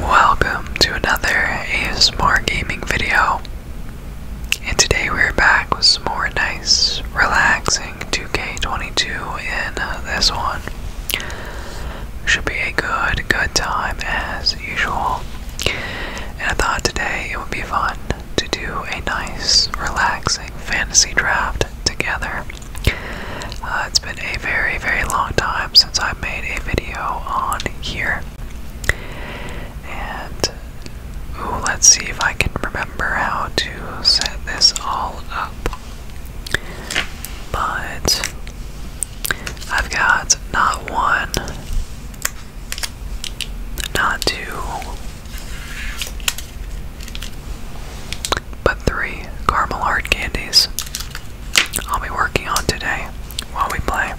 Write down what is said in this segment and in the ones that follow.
Welcome to another ASMR gaming video. And today we're back with some more nice, relaxing 2K22 in uh, this one. Should be a good, good time as usual. And I thought today it would be fun to do a nice, relaxing fantasy draft together. Uh, it's been a very, very long time since I made a video on here. And let's see if I can remember how to set this all up. But I've got not one, not two, but three caramel hard candies. I'll be working on today while we play.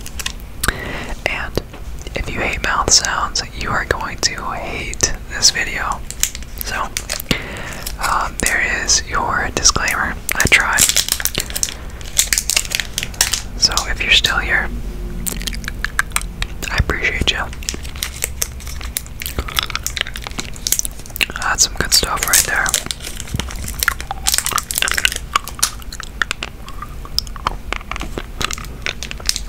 And if you hate mouth sounds, you are going to hate this video. So, um, there is your disclaimer. I tried. So, if you're still here, I appreciate you. That's some good stuff right there.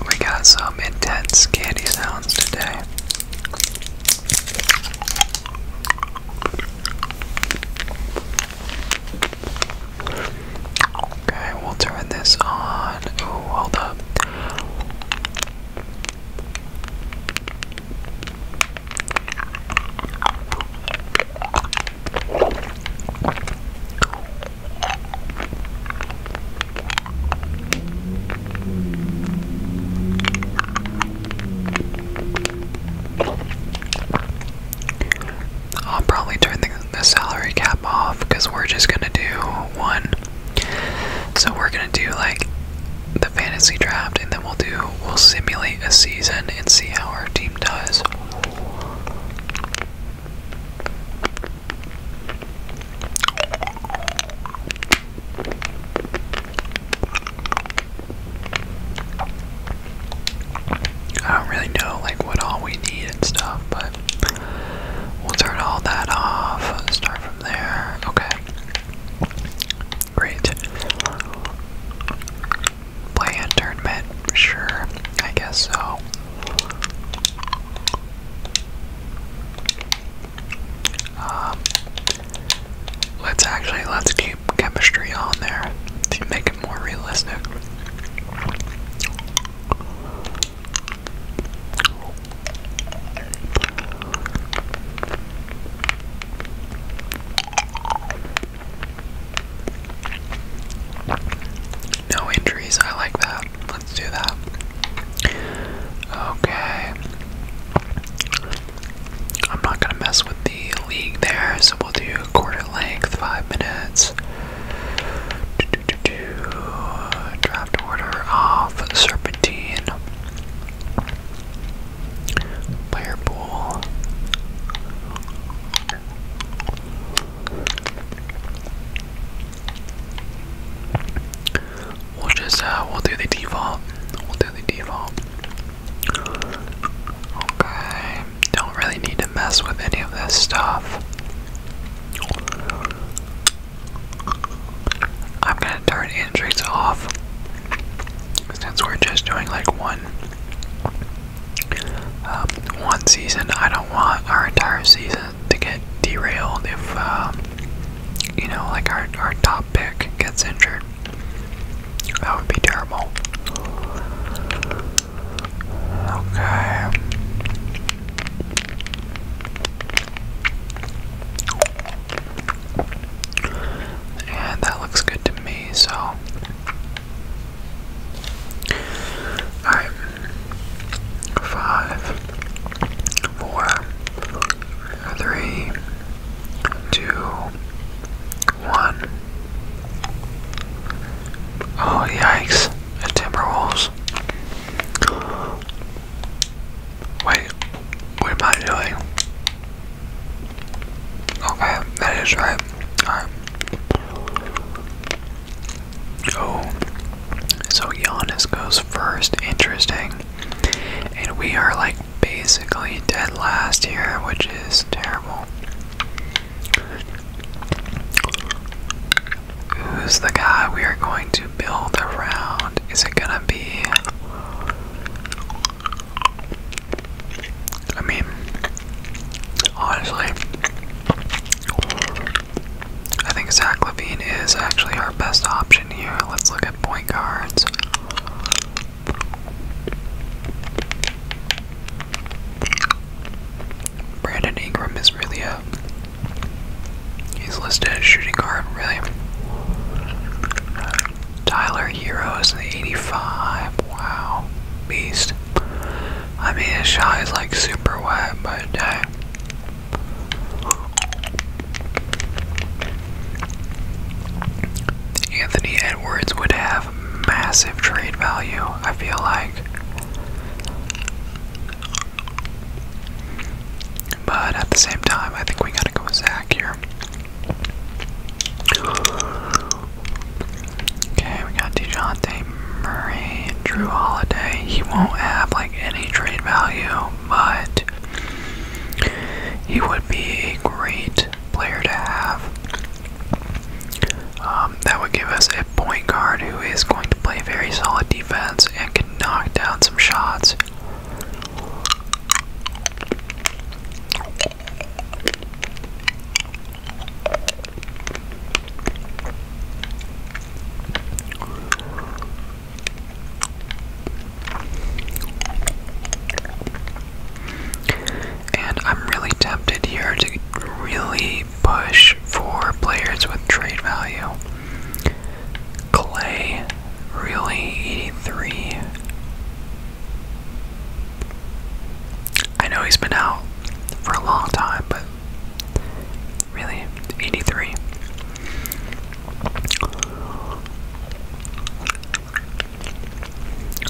We got some intense candy sounds today. Okay, we'll turn this on. Oh, hold up. I'll probably turn the, salary cap off because we're just gonna do one. So we're gonna do like the fantasy draft and we'll do we'll simulate a season and see how our team does. I don't really know like what all we need and stuff, but we'll turn all that off. Start from there. Okay. Great. Play a Sure, I guess so. Um, let's actually let's keep chemistry on there to make it more realistic. No injuries, I like that. Let's do that. Okay. I'm not gonna mess with the league there, so we'll do quarter length, five minutes. Draft order off Serpentine. Player pool. We'll just uh we'll do the default. We'll do the default. Okay. Don't really need to mess with any of this stuff. I'm gonna turn injuries off since we're just doing like one um, one season, I don't want our entire season to get derailed if um, you know, like our our top pick gets injured. That would be terrible. Okay. And that looks good to me, so. Alright. Five, four, three, two, one. Oh, yikes. Timberwolves. Wait, what am I doing? Okay, that is right. Oh. So Giannis goes first. Interesting. And we are like basically dead last here, which is terrible. Who's the guy we are going to build around? Is it gonna be I mean, honestly, I think Zach Levine is actually our best option here. Let's look at point guards. Brandon Ingram is really a. He's listed as shooting guard, really. Tyler Hero is the 85. Wow. Beast. I mean, his shot is like super wet, but Anthony Edwards would have massive trade value, I feel like. But at the same time, I think we gotta go with Zach here. Okay, we got DeJounte Murray, Drew Holiday. He won't have like any trade value, but he would be a great player to have. Um, that would give us a point guard who is going to play very solid defense and can knock down some shots. And I'm really tempted here to really push for players with trade value. Clay, really 83. I know he's been out for a long time, but really, 83.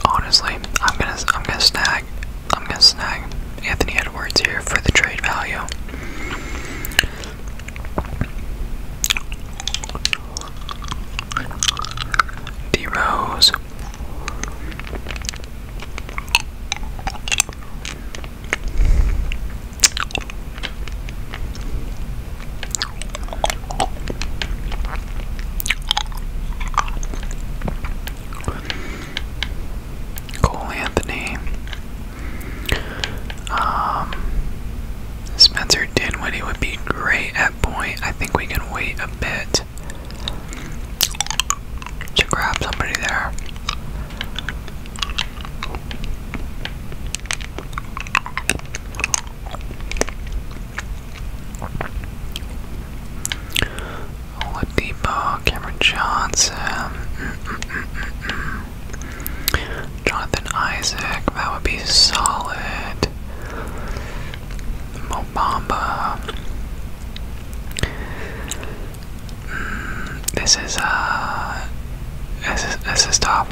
Honestly, I'm gonna I'm gonna snag I'm gonna snag Anthony Edwards here for the trade value. D Rose. Cole Anthony, um, Spencer Dinwiddie would be great point, I think we can wait a bit to grab somebody there. Oladipo, Cameron Johnson, Jonathan Isaac, that would be solid. Mobamba. Mm, this is a. Uh, this is this is top.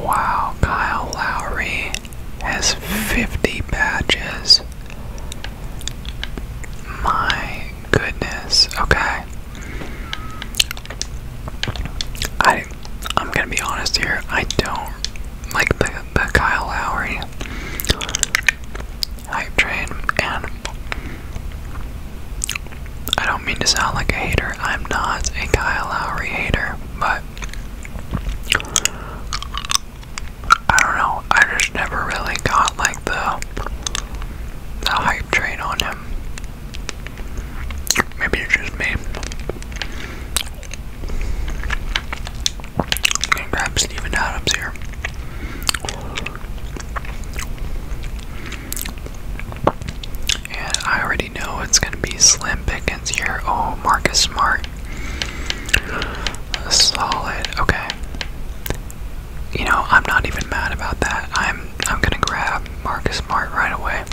Wow, Kyle Lowry has 50 badges. My goodness. Okay. I I'm gonna be honest here. I don't like the the Kyle Lowry hype train, I don't mean to sound like a hater. I'm not a Kyle Lowry hater, but I don't know. I just never really got like the the hype train on him. Maybe it's just me. i grab Steven Adams here. And I already know it's going to be slim pickings here. Oh, Marcus Smart. Solid. Okay. You know, I'm not even mad about that. I'm I'm going to grab Marcus Smart right away.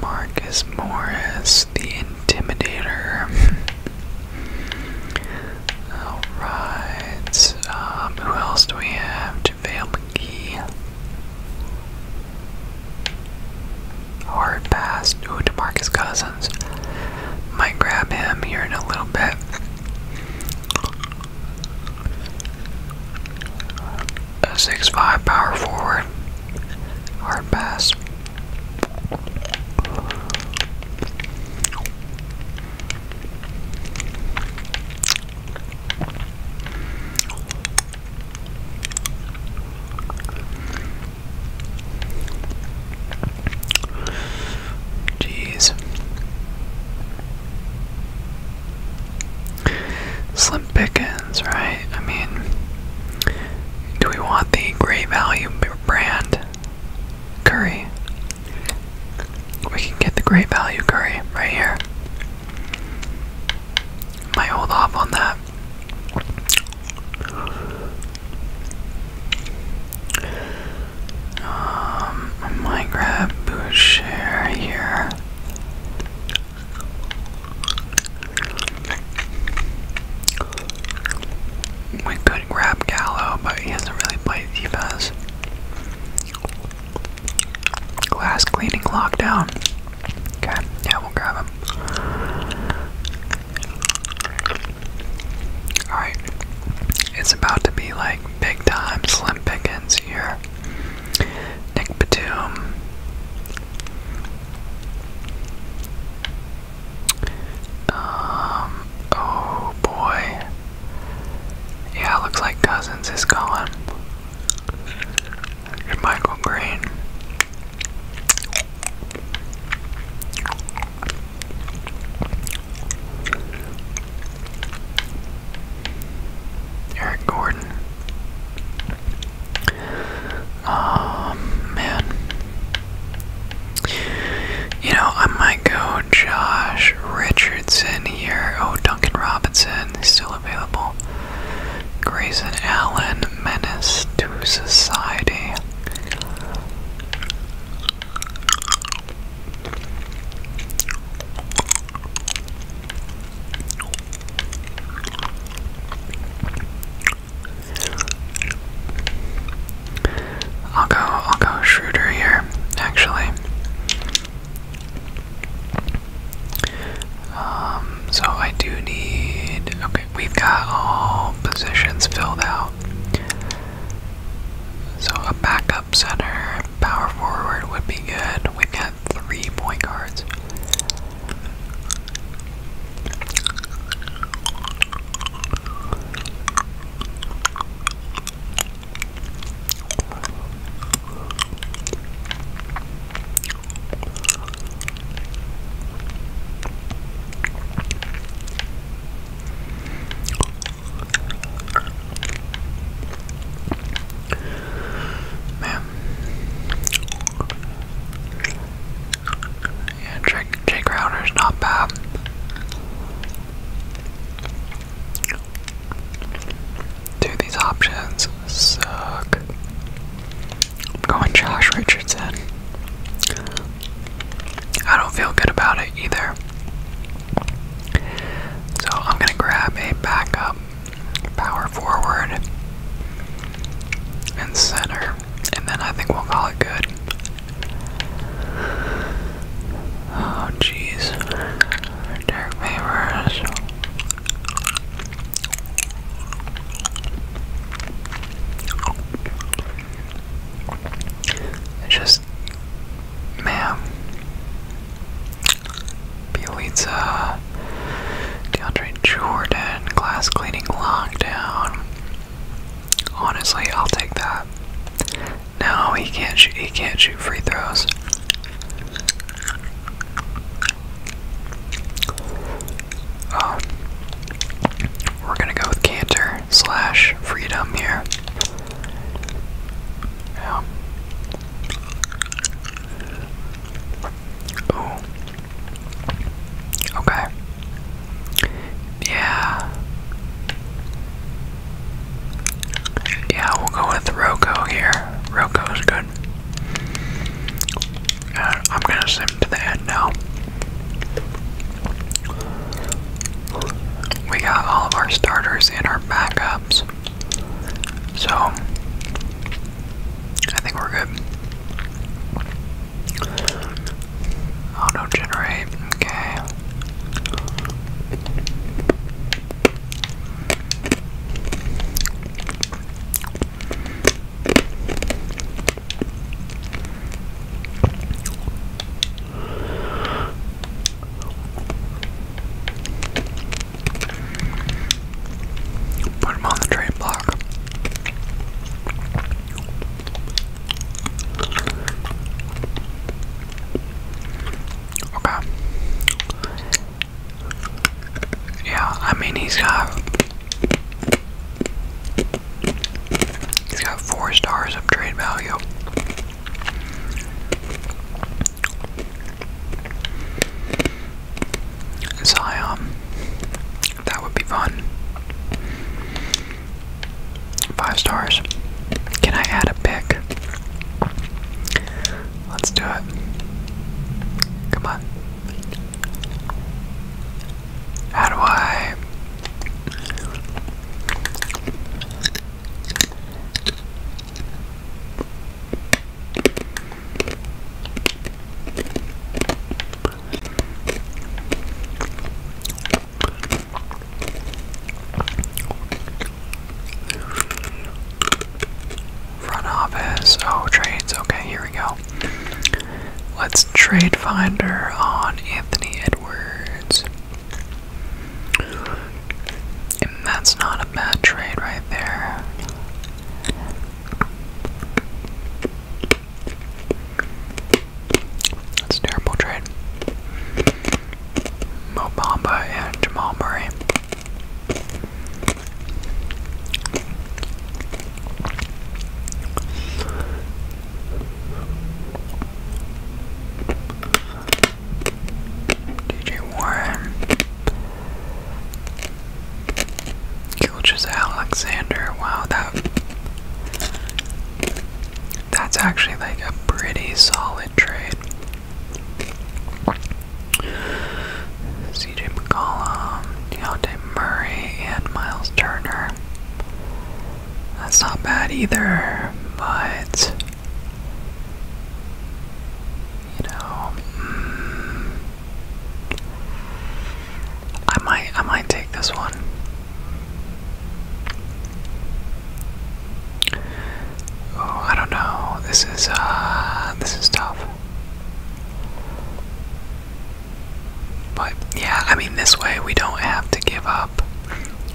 Marcus Morris, the Intimidator. Alright, um, who else do we have? JaVale McGee. Hard pass. Cousins. Might grab him here in a little bit. Six five power forward. Hard pass. Jeez. Slim Pickens, right? I mean, do we want the great value brand curry? We can get the great value curry right here. Might hold off on that. Um, I might grab Boucher here. We could grab Gallo, but he hasn't really played defense. Glass cleaning lockdown. Okay, yeah, we'll grab him. Alright, it's about to be like big time slim pickings here. Nick Batum. Um, oh boy. Yeah, looks like Cousins is gone. Michael Green. Eric Gordon. Um, man. You know, I might go Josh Richardson here. Oh, Duncan Robinson is still available. Grayson Allen, Menace to Society. I'll go I'll go Schroeder here, actually. Um, so I do need okay, we've got all positions filled out. So a backup center, power forward would be good. We've got three point guards. Man. Yeah, Jake, Jake Crowder's not bad. Dude, these options suck. going Josh Richardson. I don't feel good about it either. So I'm going to grab a backup power forward and center, and then I think we'll call it good. Oh, jeez. Derek Favors. Just Man. Bielitsa, DeAndre Jordan, glass cleaning lockdown. Honestly, I'll take that. No, he can't shoot. He can't shoot free throws. Oh, we're gonna go with Cantor slash Freedom here. Yeah. Okay. Yeah. Yeah, we'll go with Roko here. is good. Uh, I'm gonna send him to the end now. We got all of our starters and our backups. So, I think we're good. Auto generate, okay. Put him on the train block. Okay. Yeah, I mean he's got he's got four stars of trade value. Zion. Um, that would be fun. Five stars. Can I add a pic? Let's do it. Come on. How do I Front office. Oh, trades. Okay, here we go. Let's trade finder on Anthony Edwards that's not a bad trade right there. That's a terrible trade. Mo and Jamal Murray. DJ Warren, Gilgis Alexander. Wow, that that's actually like a pretty solid trade. CJ McCollum, Deontay Murray, and Miles Turner. That's not bad either, but you know, mm, I might, I might take this one. Oh, I don't know. This is, uh, this is tough. But yeah, I mean, this way we don't have to give up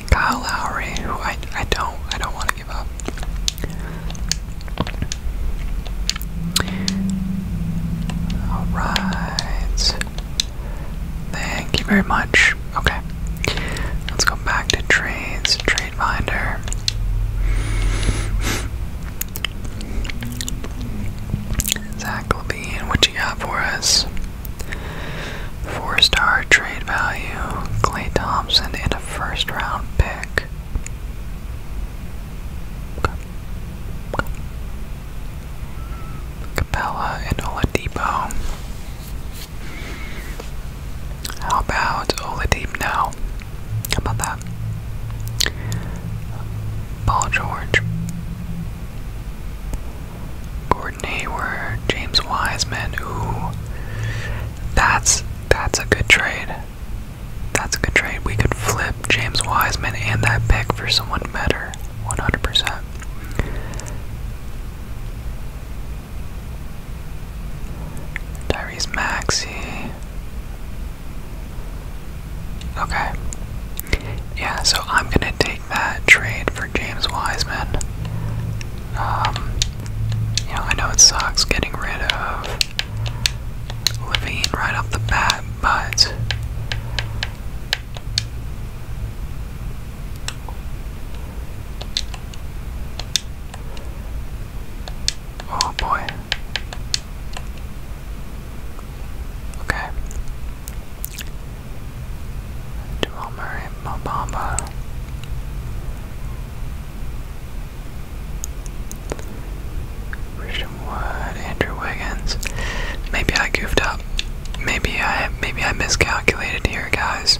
Kyle Lowry, who I, I don't, I don't want to Alright. Thank you very much. Okay. Let's go back to trades, trade binder. Zach Levine, what you got for us? Four star trade value, Clay Thompson in a first round pick. Capella and Oladipo. How about Oladipo now? How about that? Paul George. Gordon Hayward, James Wiseman, ooh. That's that's a good trade. That's a good trade. We could flip James Wiseman and that pick for someone better. 100%. Tyrese Maxey. Okay. Yeah, so I'm going to take that trade for James Wiseman um, you know, I know it sucks getting rid of Levine right off the bat, but oh boy. Okay. Jamal Murray by Christian Wood, Andrew Wiggins. Maybe I goofed up. Maybe I maybe I miscalculated here, guys.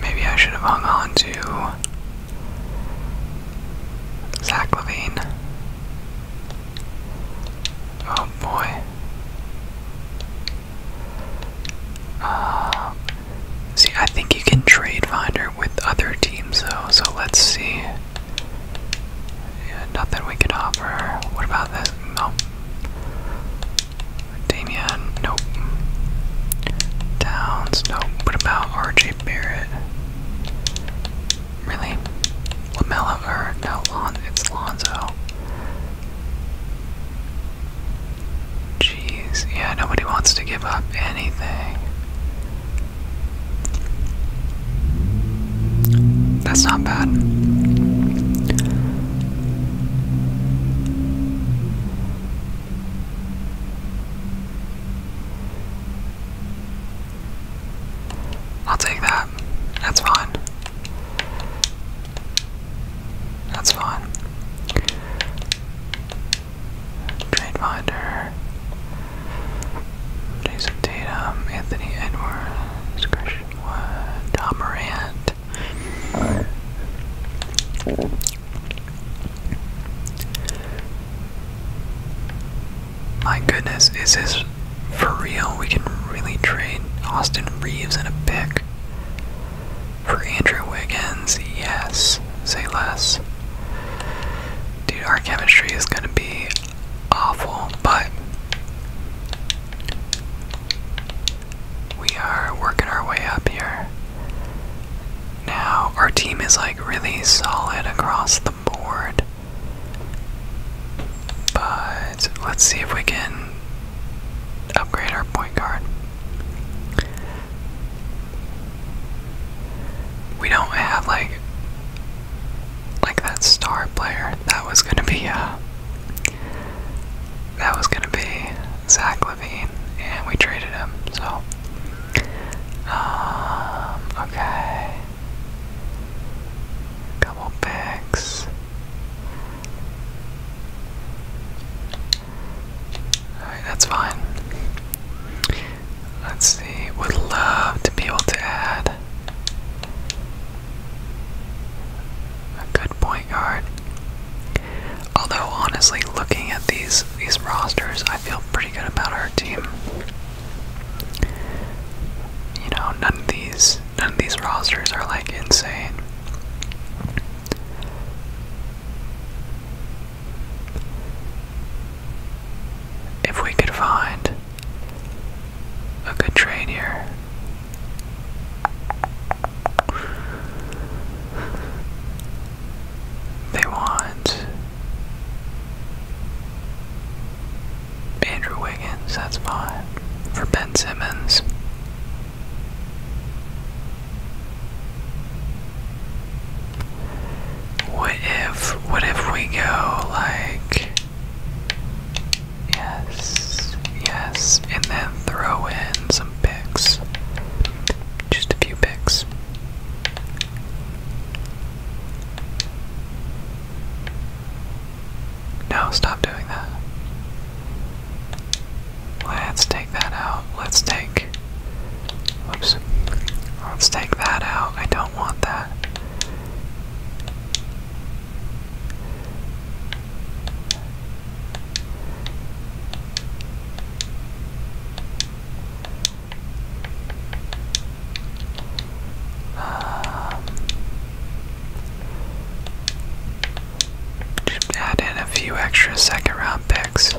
Maybe I should have hung on to Zach Levine. Oh boy. Uh, see, I think you can trade Finder with other teams though, so let's see. nothing we could offer. What about this? Nope. Damien, nope. Downs, nope. What about RJ Barrett? Really? Lamella, no, Lon, it's Lonzo. Jeez, yeah, nobody wants to give up anything. That's not bad. I'll take that. That's fine. That's fine. Trade Finder. Jason Tatum, Anthony Edwards, Christian Wood, My goodness, is this for real? We can really trade Austin Reeves in a pick. For Andrew Wiggins, yes. Say less. Dude, our chemistry is gonna be awful, but we are working our way up here. Now, our team is like really solid across the board. But let's see if we can upgrade our point guard. We don't have like like that star player. That was gonna be uh that was gonna be Zach Levine, and we traded him. So, um, okay, couple picks. Alright, that's fine. Let's see, would love to be able to add a good point guard. Although honestly looking at these these rosters, I feel pretty good about our team. You know, none of these none of these rosters are like insane. If we could find a good trade They want Andrew Wiggins, that's fine. For Ben Simmons, what if, what if we go like, yes, yes, and then throw in some picks? Just a few picks. No, stop doing that. Let's take that out. Let's take. Oops. Let's take that out. I don't want that. Um, add in a few extra second round picks.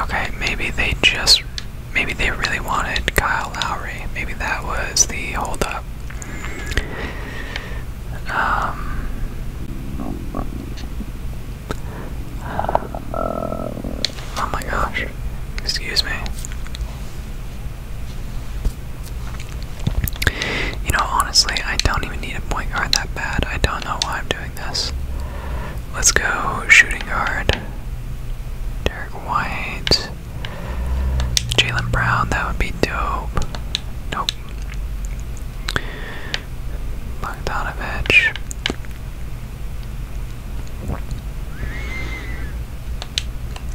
Okay, maybe they just maybe they really wanted Kyle Lowry. Maybe that was the holdup. Um, uh, oh my gosh. Excuse me. You know, honestly, I don't even need a point guard that bad. I don't know why I'm doing this. Let's go shooting guard. Derek White. Jalen Brown, that would be dope. Nope. Bogdanovich.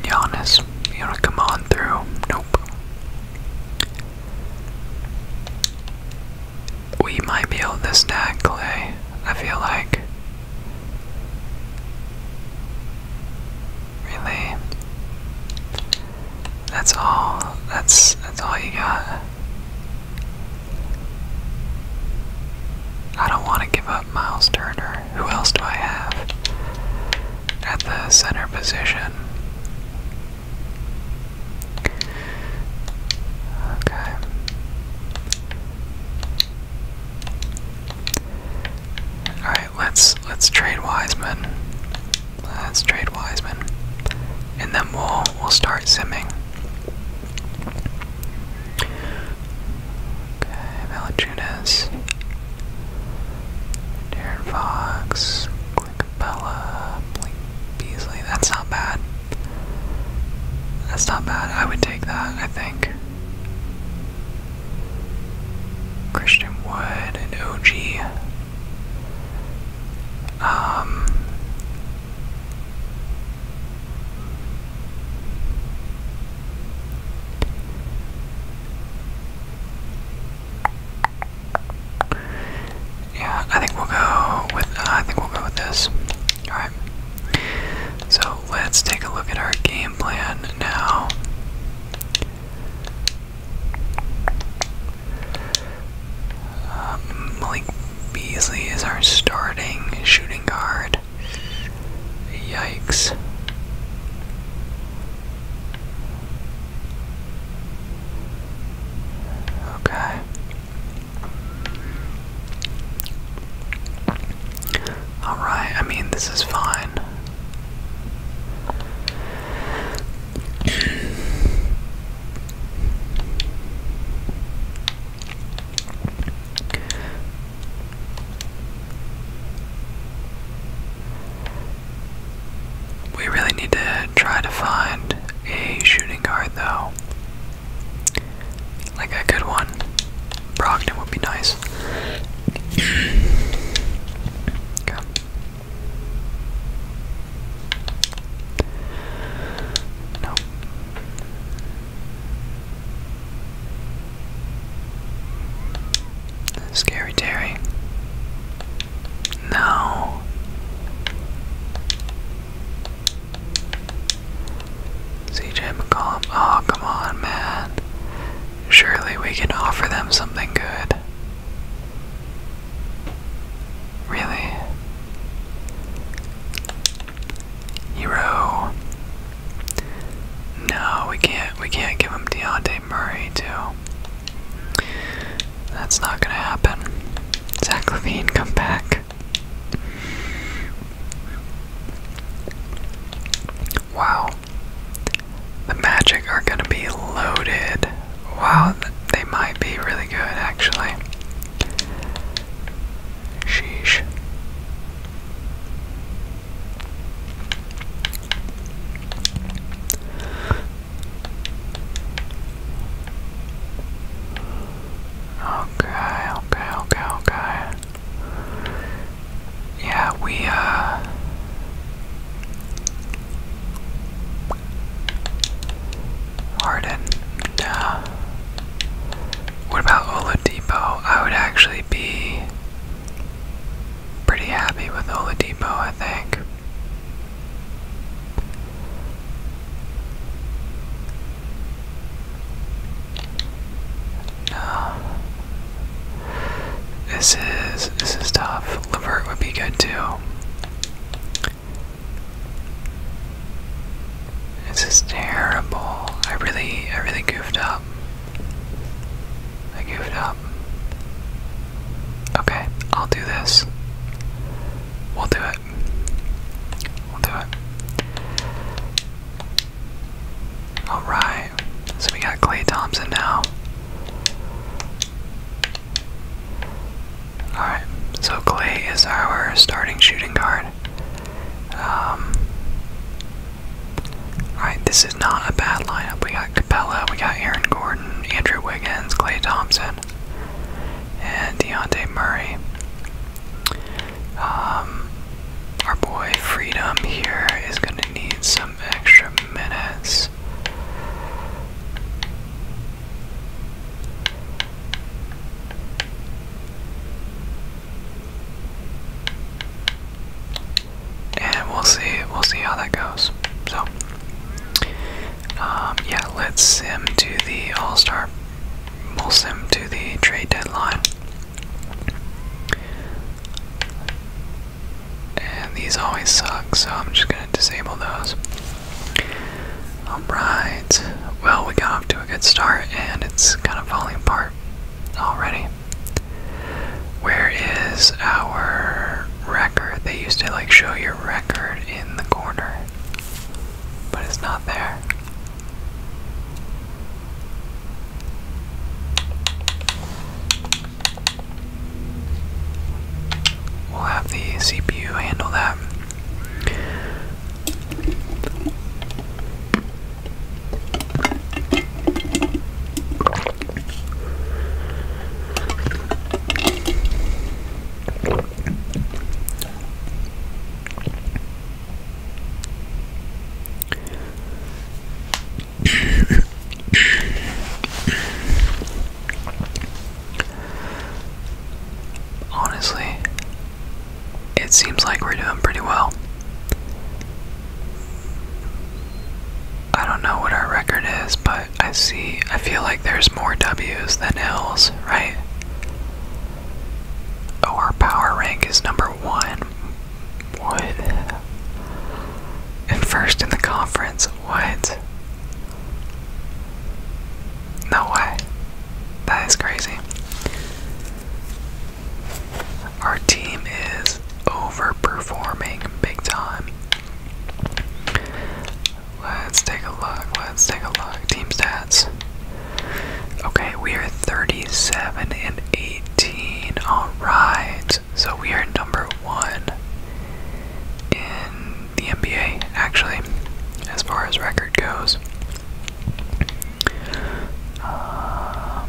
Giannis, you wanna come on through? Nope. We might be able to stack Clay, I feel like. Really? That's all that's that's all you got. I don't want to give up Miles Turner. Who else do I have at the center position? Okay. All right, let's let's trade Wiseman. Let's trade Wiseman, and then we'll we'll start simming. Okay, Valachunas. Darren Fox. Clickabella. Blake Beasley. That's not bad. That's not bad. I would take that, I think. Christian Wood and OG. Um yeah, I think we'll go with uh, I think we'll go with this. All right. So, let's take a look at our game plan now. Um, Malik Beasley is our starting shooting guard. Yikes. Okay. Alright, I mean, this is fine. We really need to try to find a shooting guard though. Like a good one. Brogdon would be nice. No. Scary Terry. No. CJ McCollum. Oh, come on, man. Surely we can offer them something good. Really? Hero. No, we can't we can't give him Deontay Murray too. That's not gonna happen. Zach Levine, come back. Wow. The Magic are gonna be loaded. Wow, they might be really good actually. Sheesh. Okay, okay, okay, okay. Yeah, we, uh. Harden, uh. What about Oladipo? I would actually be pretty happy with Oladipo, I think. No. This is this is tough. Levert would be good too. This is terrible. I really, I really goofed up. I goofed up. Okay, I'll do this. We'll do it. We'll do it. Alright. So we got Clay Thompson now. Alright, so Clay is our starting shooting guard. Um, this is not a bad lineup. We got Capella, we got Aaron Gordon, Andrew Wiggins, Clay Thompson, and Deontay Murray. Um, our boy Freedom here is going to need some extra minutes and we'll see we'll see how that goes so um, yeah let's sim to the all-star we'll sim to the trade deadline and these always suck so i'm just going to disable those all right well we got off to a good start and it's kind of falling apart already. Where is our record? They used to like show your record in the corner, but it's not there. We'll have the CPU handle that. Honestly, it seems like we're doing pretty well. I don't know what our record is, but I see, I feel like there's more W's than L's, right? Oh, our power rank is number one. What? And first in the conference. What? No way. That is crazy. Our team is overperforming big time. Let's take a look. Let's take a look. Team stats. Okay, we are 37 and 18. Alright. So we are number one in the NBA, actually, as far as record goes. Um,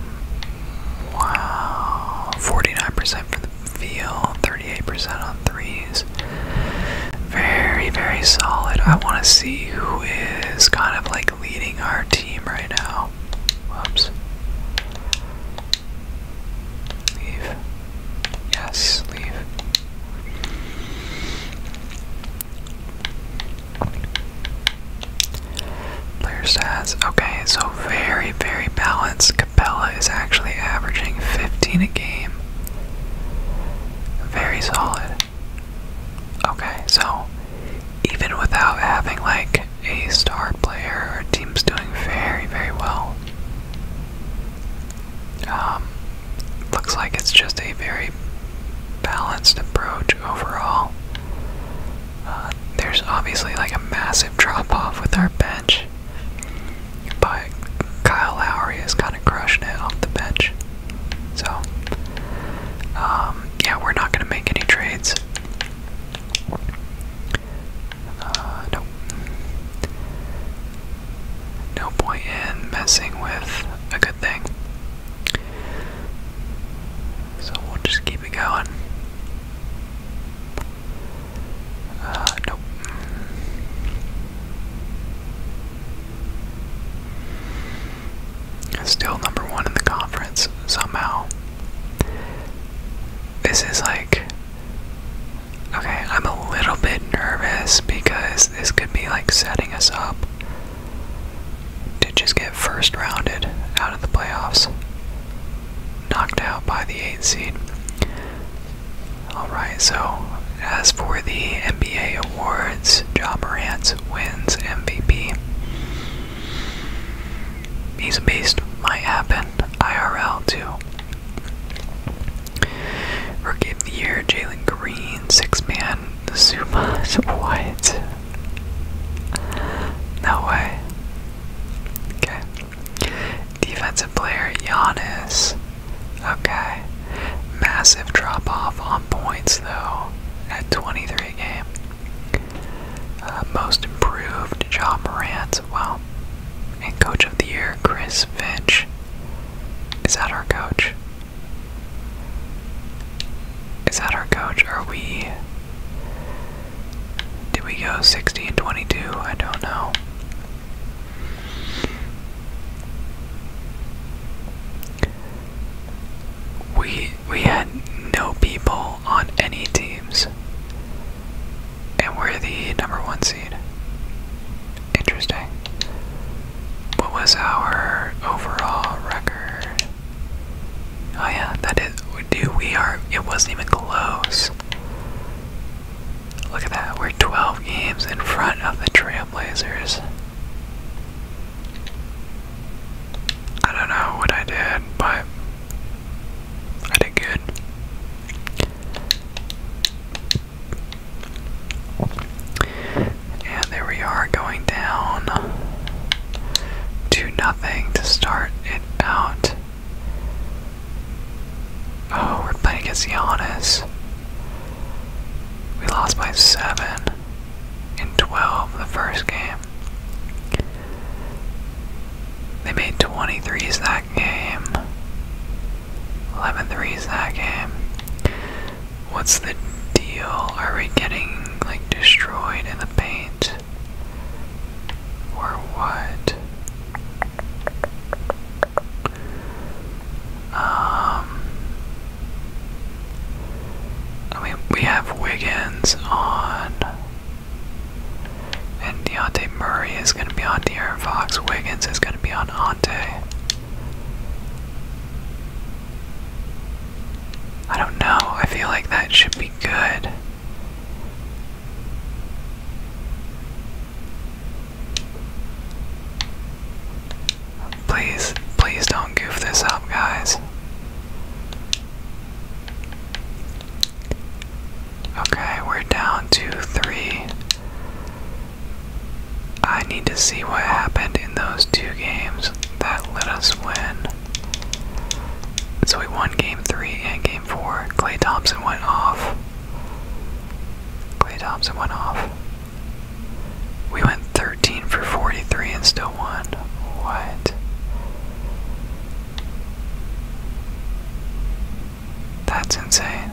wow, 49% from the field, 38% on threes. Very, very solid. I want to see who is kind of like leading our team right now. Whoops. Leave. Yes, leave. Player stats. Okay, so very, very balanced. Capella is actually averaging 15 a game. Very solid. Okay, so even without having like a star player, our team's doing very, very well. Um, looks like it's just a very balanced approach overall. Uh, there's obviously like a massive drop off with our bench, but Kyle Lowry is kind of crushing it off the bench. So, um, yeah, we're not going to make any trades. Uh, nope. No point in messing with a good thing. So we'll just keep it going. Uh, nope. Still number one in the conference somehow. This is like. Okay, I'm a little bit nervous because this could be like setting us up to just get first rounded out of the playoffs, knocked out by the 8 seed. Alright, so as for the NBA awards, John Morant wins MVP. He's a beast, might happen, IRL too. Rookie of the Year, Jalen Green, six man man, the Zuma's white. No way. Okay. Defensive player Giannis. Okay. Massive drop off on points though at 23 a game. Uh, most improved John Morant. Wow. And coach of the year Chris Finch. Is that our coach? Is that our coach? Are we did we go 60 and 22? I don't know. We we had no people on any teams. And we're the number one seed. Interesting. What was our overall record? Oh yeah, that is, dude, we are, it wasn't even close. Look at that, we're 12 games in front of the Trailblazers. I don't know what I did, but I did good. And there we are going down do nothing to start it out. Oh, we're playing against Giannis. We lost by 7 in 12 the first game. They made twenty threes that game. 11 threes that game. What's the deal? Are we getting like destroyed in the paint? Or what? Um I mean we have Wiggins on and Deontay Murray is gonna be on De'Aaron Fox. Wiggins is gonna be on Ante. I don't know. I feel like that should be good. Please, please don't goof this up, guys. Okay, we're down to three. I need to see what happened in those two games that let us win. So we won game three and game four. Clay Thompson went off. Clay Thompson went off. We went 13 for 43 and still won. What? That's insane.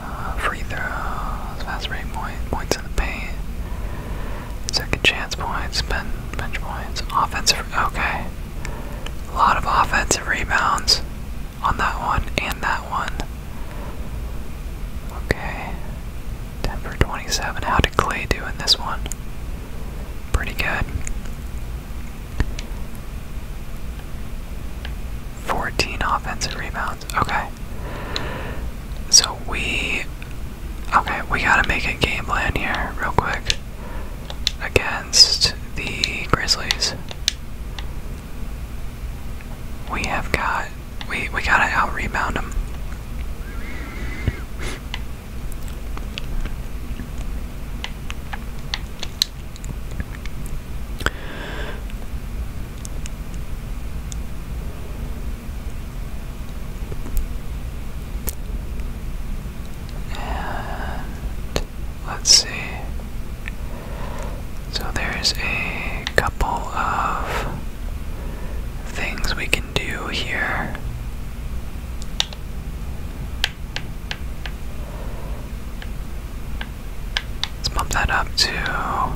Uh, free throws, fast break points in the paint, second chance points, bench, bench points, offensive. Okay, a lot of offensive rebounds on that one and that one. Okay, 10 for 27. How did Clay do in this one? Pretty good. 14 offensive rebounds. Okay. So we. Okay, we gotta make a game plan here, real quick. Against the Grizzlies. We have got. We, we gotta out rebound them. And let's see. So there's a couple of things we can do here. Let's bump that up to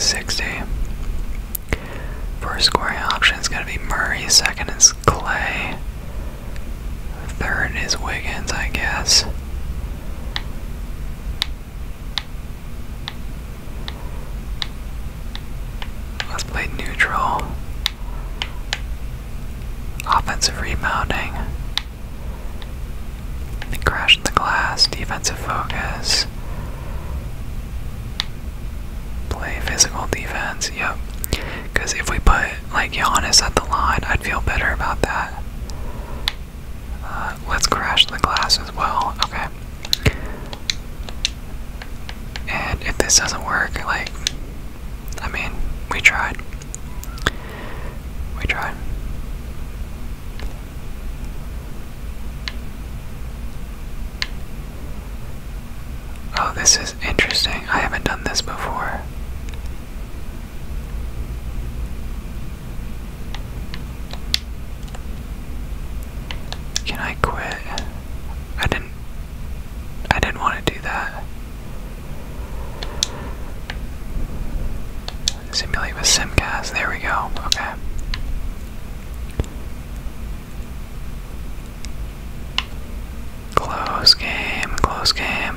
60. First scoring option is going to be Murray, second is Clay, third is Wiggins, I guess. Let's play neutral. Offensive rebounding. Crash crashed the glass, defensive focus. Play physical defense, yep. Because if we put, like, Giannis at the line, I'd feel better about that. Uh, let's crash the glass as well, okay. And if this doesn't work, like, I mean, we tried. We tried. Oh, this is interesting. I haven't done this before. Can I quit? I didn't I didn't want to do that. Simulate with Simcast. There we go. Okay. Close game. Close game.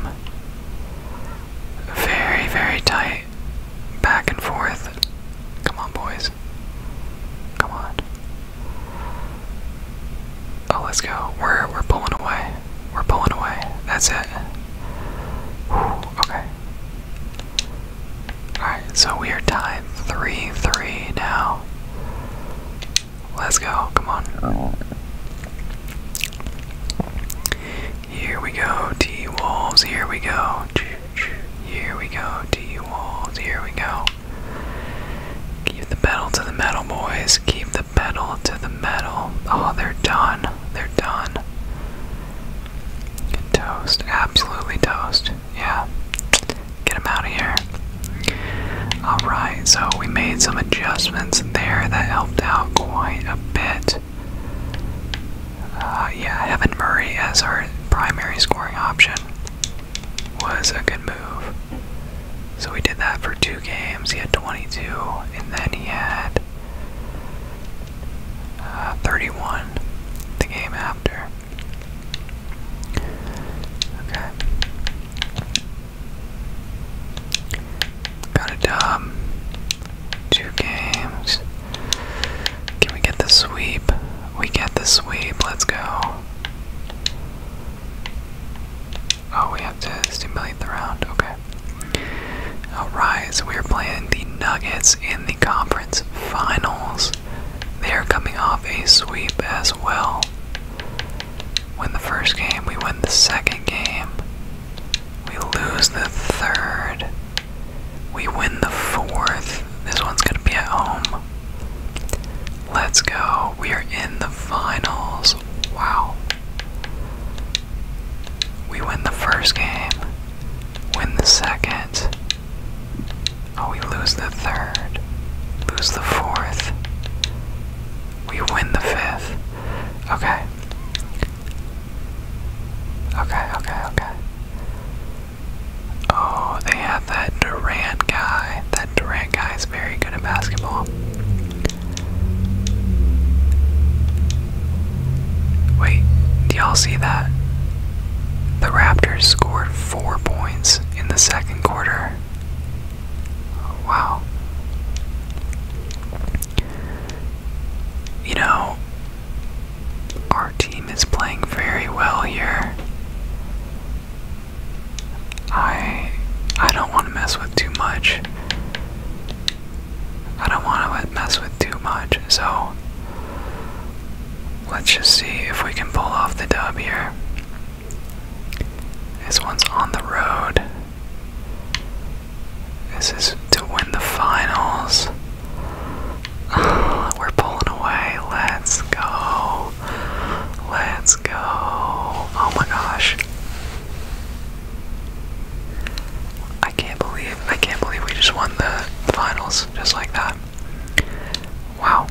Very, very tight. Back and forth. Come on, boys. Come on. Oh, let's go. We're we're pulling away. We're pulling away. That's it. okay. Alright, so we are tied 3 3 now. Let's go. Come on. Here we go, T Wolves. Here we go. Here we go, T Wolves. Here we go. Keep the pedal to the metal, boys. Keep the pedal to the metal. Oh, they're done. They're done. Toast. Absolutely toast. Yeah. Get them out of here. Alright, so we made some adjustments there that helped out quite a bit. Uh, yeah, Evan Murray as our primary scoring option was a good move. So we did that for two games. He had 22, and then he had uh, 31 the game after. Okay. Got a dub. Um, two games. Can we get the sweep? We get the sweep. Let's go. Oh, we have to stimulate the round. Okay. Alright, we are playing the Nuggets in the conference finals. They are coming off a sweep as well. Win the first game, we win the second game. We lose the third. We win the fourth. This one's going to be at home. Let's go. We are in the finals. Wow. We win the first game, win the second. Oh, we lose the third, lose the fourth. We win the fifth. Okay. Okay, okay, okay. Oh, they have that Durant guy. That Durant guy is very good at basketball. Wait, do y'all see that? The Raptors scored four points in the second quarter. Wow. You know, our team is playing very well here. I I don't want to mess with too much. I don't want to mess with too much, so let's just see if we can pull off the dub here. This one's on the road. This is to win the finals. We're pulling away. Let's go. Let's go. Oh my gosh. I can't believe I can't believe we just won the, finals just like that. Wow.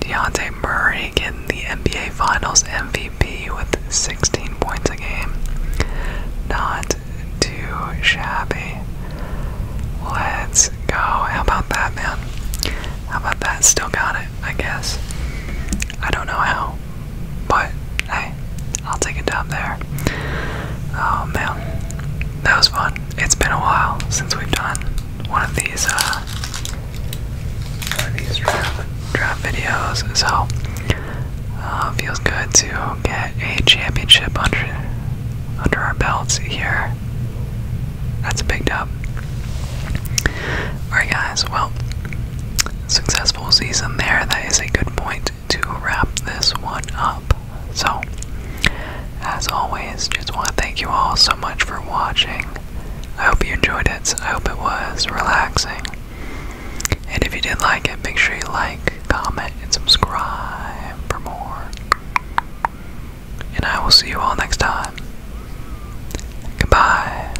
Deontay Murray getting the NBA Finals MVP with 16 points a game. Not too shabby. Let's go. How about that, man? How about that? Still got it, I guess. I don't know how. But hey, I'll take a dub there. Oh man, that was fun. It's been a while since we've done one of these, uh, these draft, draft videos, so uh, feels good to get a championship under under our belts here. That's a big dub. Alright guys, well, successful season there. That is a good point to wrap this one up. So, as always, just want to thank you all so much for watching. I hope you enjoyed it. I hope it was relaxing. And if you did like it, make sure you like, comment, and subscribe for more. And I will see you all next time. Goodbye.